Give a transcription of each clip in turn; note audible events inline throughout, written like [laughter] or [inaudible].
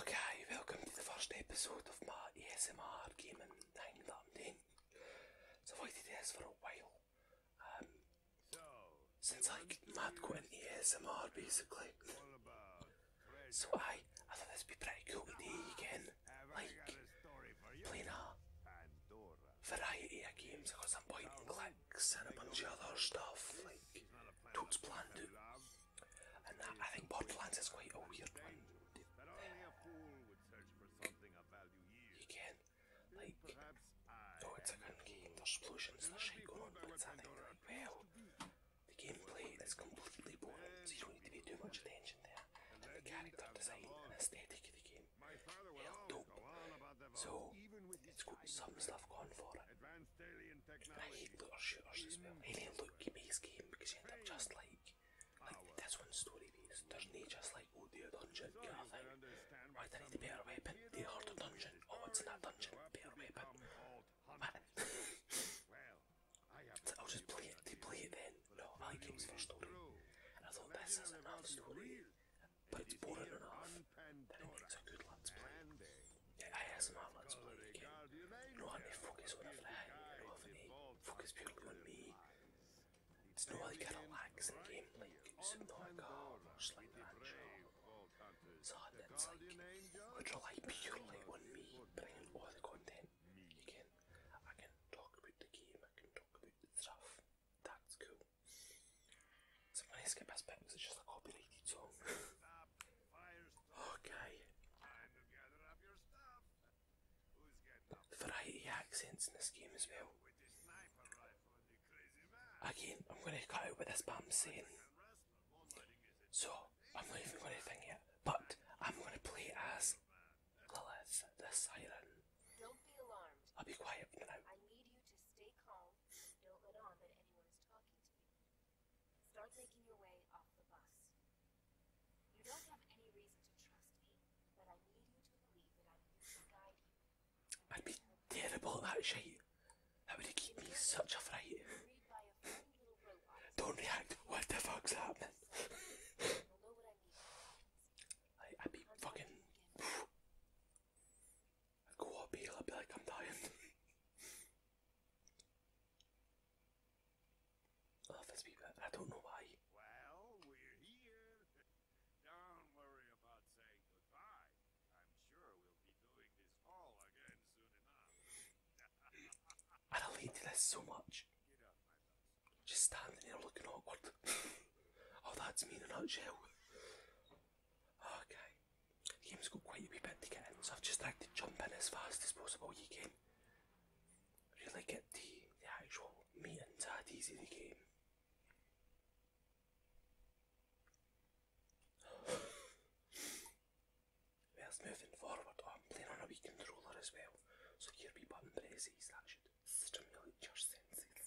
Okay, welcome to the first episode of my ASMR game in London. So I did this for a while. Um, so, since I mad quit ASMR basically. so I, I thought this would be pretty cool today again. Like, playing a variety of games because I'm pointing clicks and a bunch of other stuff. Like, totes planned to. I think Borderlands is quite a weird one. Again, like, no, oh, it's a good game, there's explosions, there's shit going on, but well, the gameplay is completely boring, so you don't need to pay too much attention there. the character design and aesthetic of the game, hell dope. So, it's got some stuff going for it, I hate looter shooters as well. Any loot can be game because you end up just like like this one's story based. There's no just like oh dear dungeon kind of thing. Right, I need a better weapon. The harder dungeon. Oh, what's in that dungeon? Better weapon. Man. so I'll just play it. They play it then. No, I like games for story. And I thought this is enough story, but it's boring enough that it makes a good let's play. أحسن على أصبعي كان إنه focus وأنا في الحياة إنه غني focus purely on me There's no like a relaxing game like Subnautica or oh, just like Banjo So that's like, would rely purely on me bringing all the content you can I can talk about the game, I can talk about the stuff That's cool So when I skip this bit because it's just a copyrighted song [laughs] Okay. Variety accents in this game as well. Again, I'm going to cut out what this spam saying. So, I'm not even going to think yet. But, I'm going to play as the siren. Don't be alarmed. I'll be quiet for the I Start making your way off the bus. You don't have any reason to trust me, but I need you to believe that I'm here to I'd be terrible at that shit. That would keep me such a fright. don't react. What the fuck's happening? I, would be fucking. [sighs] I'd go up here, I'd be like, I'm dying. [laughs] Oh, I don't know why. Well, are here. Don't worry this so much. Just standing there looking awkward. [laughs] oh, that's me in a nutshell. Okay. The got quite a wee bit to get in, so I've just like to jump in as fast as possible you can. Really get the, the actual meat and tatties of the game. Where's [sighs] moving forward? Oh, I'm playing on a wee controller as well, so your wee button presses, that should stimulate your senses.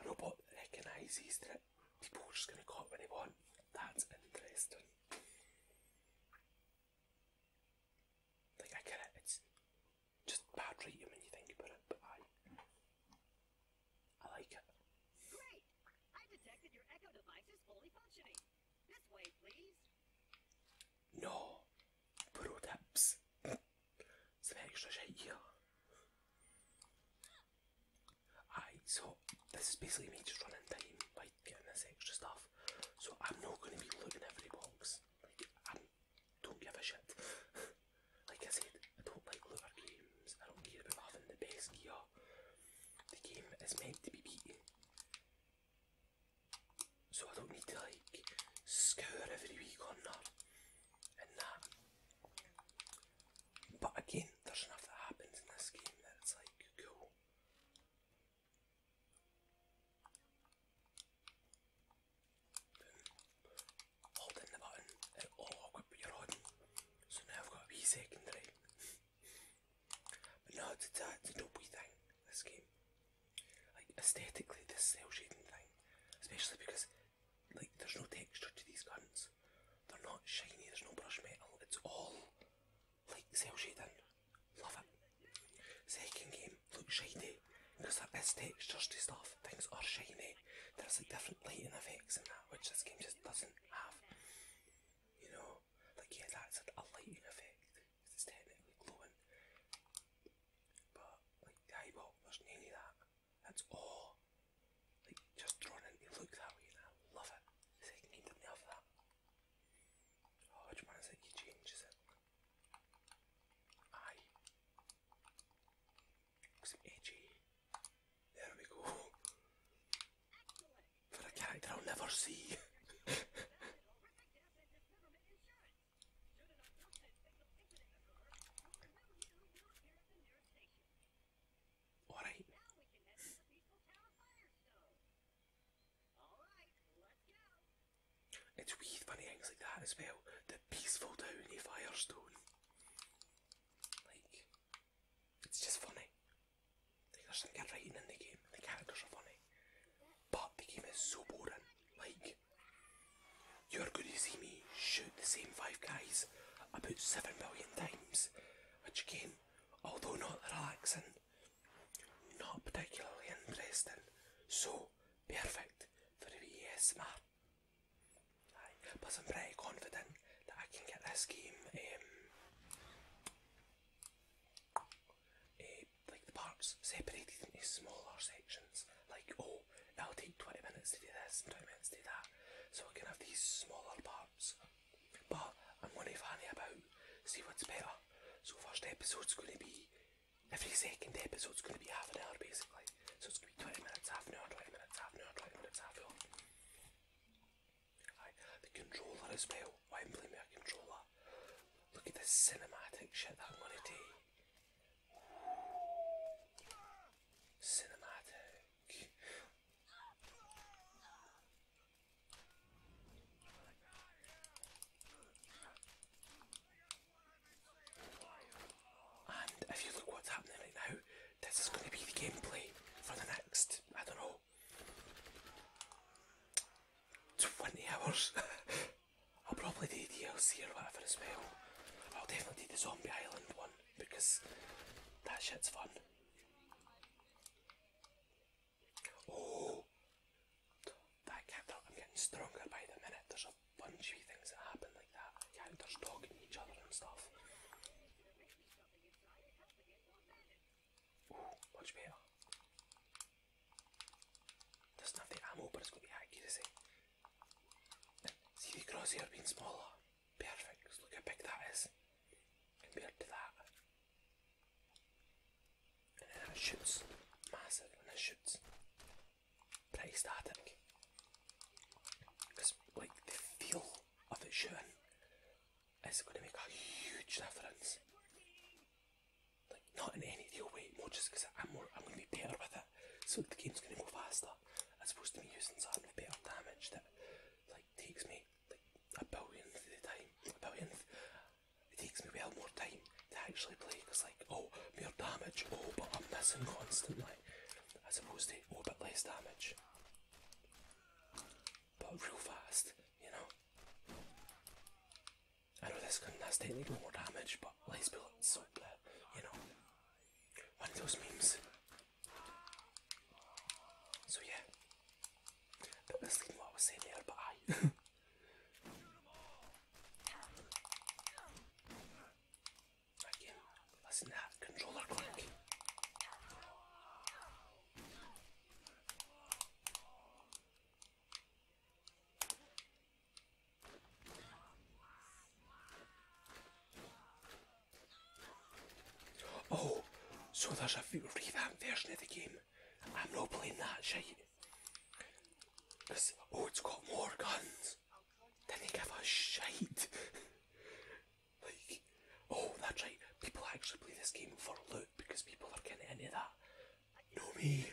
A robot recognises that people are just going to call when they want. That's interesting. Like, I get it, it's just bad writing when you think about it, but I. I like it. No. Pro [laughs] Spectra here. Aye, so this is basically me just running time by getting this extra stuff. So I'm not going to be looting every box. Like, I don't give a shit. [laughs] like I said, I don't like looter games. I don't care about having the best gear. The game is meant to be beaten. So I don't need to like scour every week or not, and that. But again, there's enough that happens in this game that it's like cool. Boom. Holding the button, it'll lock your on. So now I've got a wee secondary. but no, it's, it's, a, it's thing, this game. Like, aesthetically, this cell shading thing, especially because like there's no texture to these guns. They're not shiny, there's no brush metal, it's all like cell shading. Love it. Second game looks shiny because there is textures to stuff, things are shiny. There's like different lighting effects in that which this game just doesn't have. You know, like yeah that's a lighting effect, it's technically glowing. But like the there's none that. It's all like, just drawn in, looks that way, and I love it. It's like, I didn't love that. Oh, which He changes it. I. Looks edgy. There we go. For a character I'll never see. [laughs] Alright. It's weird funny things like that as well. The peaceful town Firestone. Like, it's just funny. Like, there's some writing in the game. The characters are funny. But the game is so boring. Like, you're going to see me shoot the same five guys about seven million times, which again, although not relaxing, not particularly interesting, so perfect for the wee ASMR. But I'm pretty confident that I can get this game um, eh, like the parts separated into smaller sections. Like, oh, it'll take 20 minutes to do this 20 minutes to do that. So I can have these small little parts. But I'm going to fanny about, see what's better. So first episode's going to be, every second episode's going to be half an hour basically. So it's going to be 20 minutes, half an hour, 20 minutes, half an hour, 20 minutes, half an hour. The controller as well, why I'm playing with a controller. Look at this cinematic shit that I'm going to do. Cinematic. And if you look what's happening right now, this is going to be the gameplay for the next, I don't know, 20 hours. [laughs] I'll probably do DLC or whatever as well. I'll definitely do the Zombie Island one because that shit's fun. Oh, that counter! I'm getting stronger by the minute. There's a bunch of things that happen like that. Counters talking to each other and stuff. Ooh, much better. Doesn't the ammo, but it's got the accuracy. See the gross here being smaller. Perfect. Just look how big that is compared to that. And then that shoots massive and this shoots pretty static. Because like the feel of it shooting is going to make a huge difference. Like not in any real way, more just because I'm more I'm going to be better with so the game's gonna go faster. As opposed to be using something with better damage that like takes me like a billionth of the time. A billionth. It takes me well more time to actually play because like oh more damage, oh but I'm missing constantly. As opposed to oh but less damage. But real fast, you know. I know this gun has bit more damage but less bullets so uh, you know one of those memes. So yeah, bit misleading what was saying there, but I. [laughs] Again, listen to that controller click. Oh, so there's a revamp version of the game. I'm not playing that shit. It's, oh, it's got more guns. Didn't give a shit. [laughs] like, oh, that's right. People actually play this game for loot because people are getting any of that. Know me. [laughs]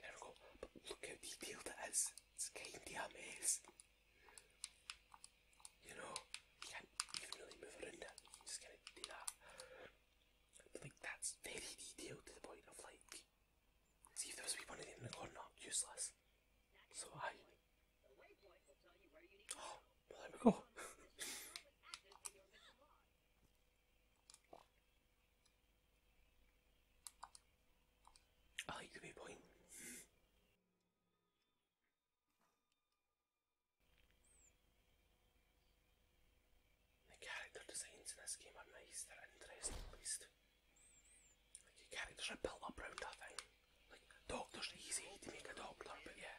There we go. look how detailed it is. It's kinda a You know, you can't even really move around it. You can just kind of do that. But like that's very detailed to the point of like, see if there was a wee one of them in the corner, useless. So I. Oh, [gasps] well there we go. [laughs] Oh, you could be the character designs in this game are nice, they're interesting at least. Like your characters are built up around a thing. Like doctors are easy to make a doctor, but yeah.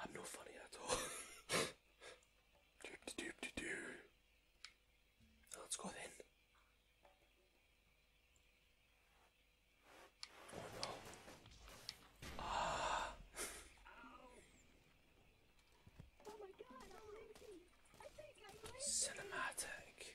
I'm not funny at all. [laughs] Let's go then. Cinematic.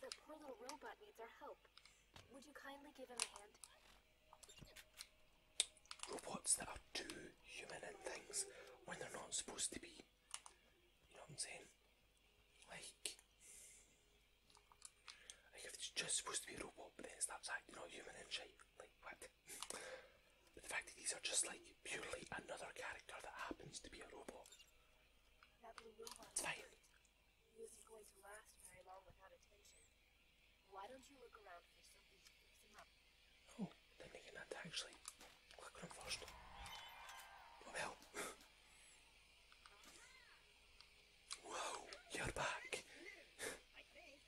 The poor little robot needs our help. Would you kindly give him a hand? Robots that are too human in things when they're not supposed to be. You know what I'm saying? Like, like if it's just supposed to be a robot, but then it starts acting all human and shit, like what? but the fact that these are just like purely another character that happens to be a robot. It's fine. Why don't you look around for something to fix Oh, they're making that actually. Click on him first. [laughs] Whoa, you're back. I think.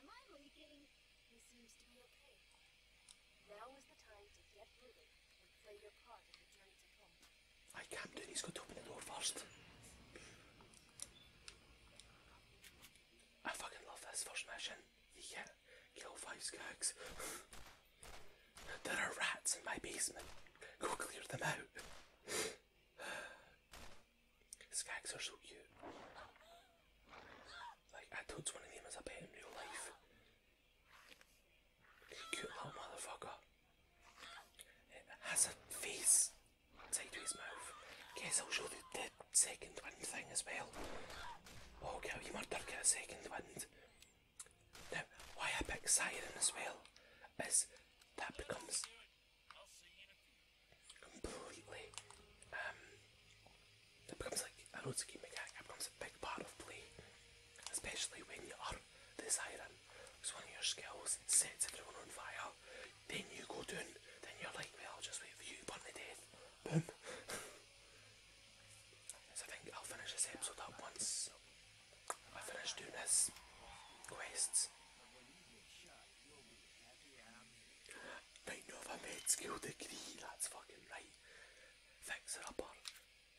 Am I leaking? He seems to be okay. Now is the time to get moving. I can't do it, he's got to open the door first. I fucking love this first mission. You kill five skags. there are rats in my basement. Go clear them out. skags are so cute. Like, I totes one of them as a pet in real life. Cute little motherfucker. It has a face Take to his mouth. Guess I'll show the, the second wind thing as well. Oh, girl, you murdered, get a second wind. Now, why I picked Siren as well is that becomes completely, um, it becomes like, I know it's a game mechanic, it becomes a big part of play especially when you are this siren, because one of your skills sets everyone on fire, then you go down, then you're like, well, I'll just wait for you, burn to death, boom. I think I'll finish this episode up once I finish doing this quests. Right now i med skill degree, that's fucking right. Fixer upper,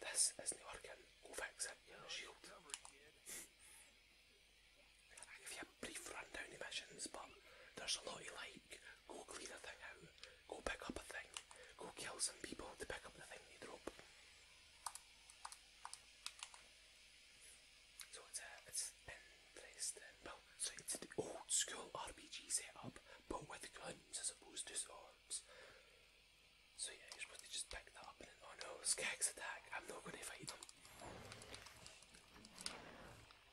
this is not working. Go fix it. You're a shield. give you a brief rundown of missions, but there's a lot you like. Go clean a thing out. Go pick up a thing. Go kill some people to pick up the thing you drop. So it's a, it's interesting. old school RPG setup, but with guns as opposed to swords. So yeah, you're supposed to just pack that up and oh no, Skag's attack, I'm not going to fight them.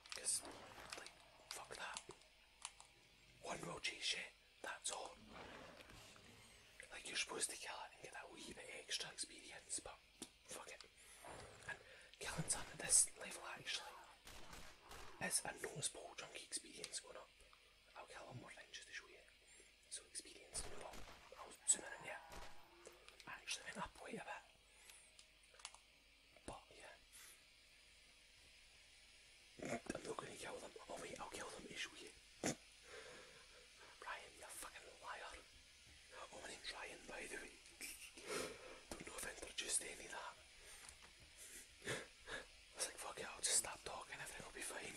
Because, like, fuck that. One will chase shit, that's all. Like, you're supposed to kill it and get that wee bit extra experience, but fuck it. And killing something at this level actually is a noticeable junkie experience going up. I'll kill one more thing just to show you. So Experience nur auszünden, ja. Eigentlich schon ein Abhoi, aber. Boah, yeah. I'm not gonna kill them. Oh wait, I'll kill them, issue you. Ryan, you fucking liar. Oh, my name's Ryan, by the way. Don't know if I introduced any of that. I was like, fuck it, I'll just stop talking, everything will be fine.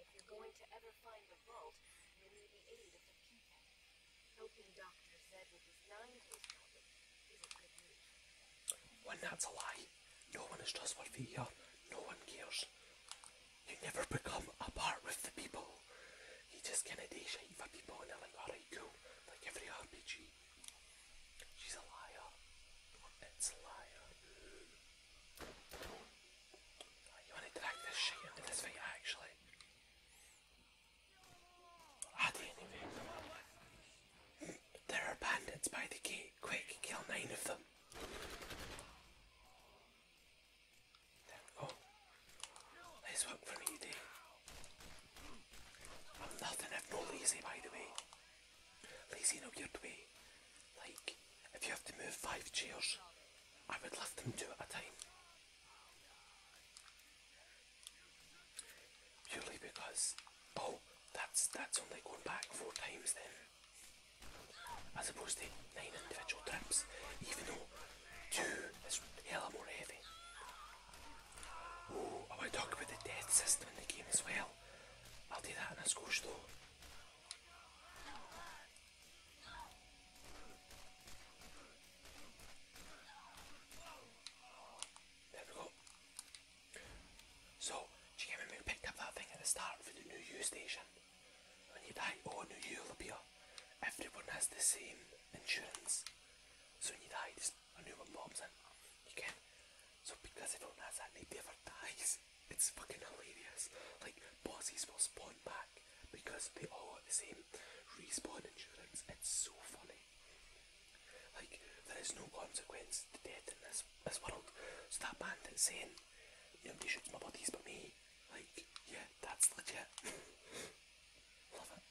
If you're going to ever find the vault, you'll need the aid with that's a lie. No one is trustworthy here. No one cares. You never become a with the people. You just kinda do shit for people and they're Like every RPG. She's a liar. It's a liar. You want to drag this shit into this fight, actually. I did There are bandits by the gate. Quick, kill nine of them. There we go. Nice work for me today. I'm nothing if no lazy, by the way. Lazy, no weird way. Like, if you have to move five chairs, I would love them two at a time. Purely because, oh, that's that's only going back four times then. As opposed to nine individual trips, even though two is hell more heavy. Oh, I want to talk about the death system in the game as well. I'll do that in a skosh store. So, do you remember we picked up that thing at the start for the new U station? When you die, oh, new U will Everyone has the same insurance. So when you die, just a new one You can. So because everyone has that, nobody [laughs] ever it's fucking hilarious. Like bosses will spawn back because they all have the same respawn insurance. It's so funny. Like there is no consequence to death in this this world. So that bandit saying, nobody shoots my buddies but me. Like, yeah, that's legit. [laughs] Love it.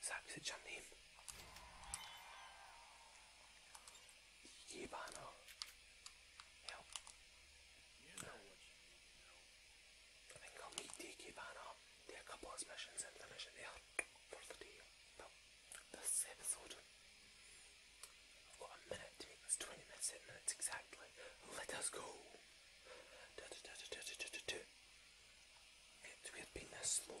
Sapsicz anneyim. Yibano. You know what you need I think I'll meet the Yibano. Do a couple of missions and finish it for the this episode, I've got a minute to 20 minutes, minutes exactly. Let us go. It's weird being this slow.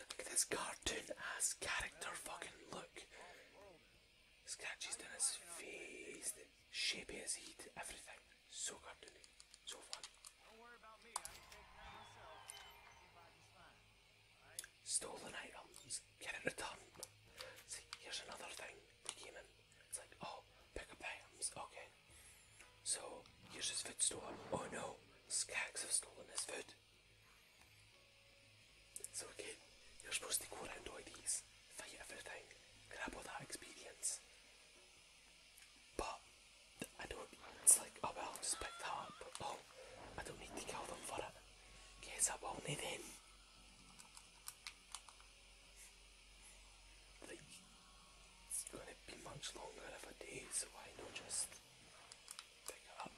Look at this cartoon ass character fucking look. Scratches down his face, the shape he his head, everything. So cartoony, so fun. me, I can Stolen items, get it returned. See, here's another thing came in. It's like, oh, pick up items, okay. So, here's his foot store? Oh no, Skags have stolen this food. So again, you're supposed to go around all these, fight everything, grab all that experience. But, I don't, it's like, oh well, I'll just pick that up. Oh, I don't need to kill them for it. Guess I won't eh, need him. Like, it's gonna be much longer of a day, so why not just pick up?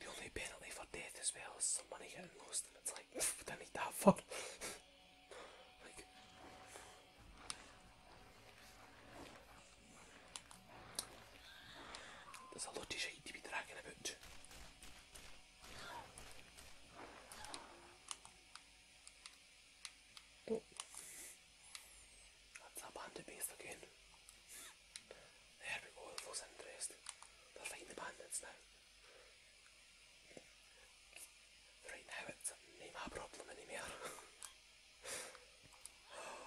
The only penalty for death as well is some money getting lost, and it's like, [laughs] I need that fuck. [laughs] there's a lot of shit to be dragging about. Oh. That's a base again. They had Orville's interest. They're fighting the now. Right now it's not problem anymore. [laughs] Oh,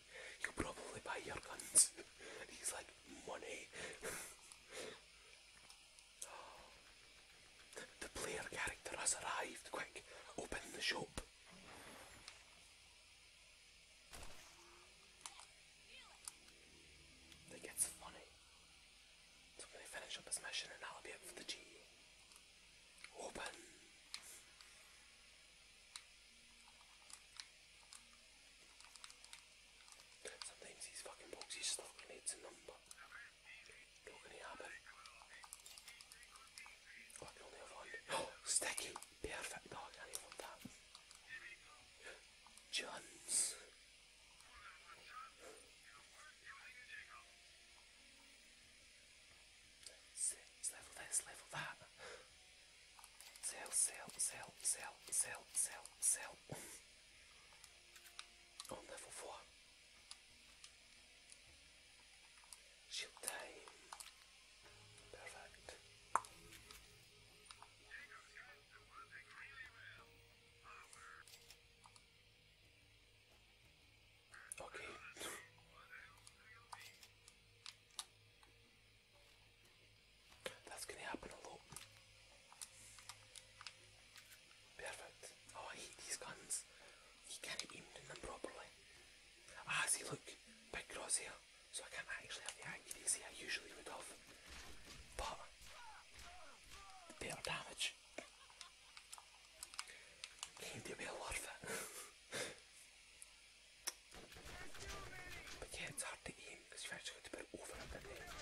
you could probably buy your guns. and [laughs] he's like, money. [sighs] The player character has arrived. Quick, open the shop. That gets funny. So when they finish up this mission, and that'll be it for the G. Open. Sometimes these fucking boxes stop and it's a number. What can it happen? Oh, I can only have [gasps] Oh, sticky! Perfect! Oh, I can that. Johns. level this, level that. Sell, sell, sell, sell, sell, sell, sell. On level 4. Shield time. Perfect. Okay. That's gonna happen a lot. Perfect. Oh, I hate these guns. You can't aim them properly. Ah, see, look, big crosshair, so I can't actually have the accuracy I usually would have. But, better damage. Can do well worth it. [laughs] But yeah, it's hard to aim because you you're actually going to put it over a bit there.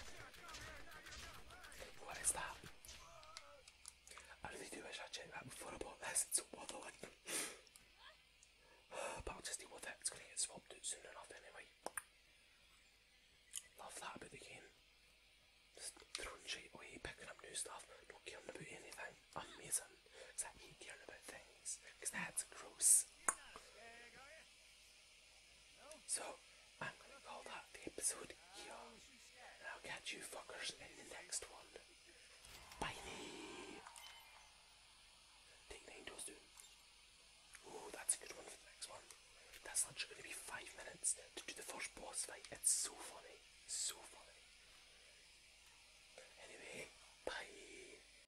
What is that? I really do wish I checked that before I bought this, it's a bother one. [sighs] but I'll just deal with it, going to get swapped out soon enough anyway. Love that about the game. Just throwing shit away, picking up new stuff, not caring about anything. Amazing. Because I hate caring about things because that's gross. So, I'm gonna call that the episode here. And I'll catch you fuckers in the next one. Bye! Take nine toes down. Oh, that's a good one for the next one. That's literally gonna be five minutes to do the first boss fight. It's so funny. So funny. Anyway, bye.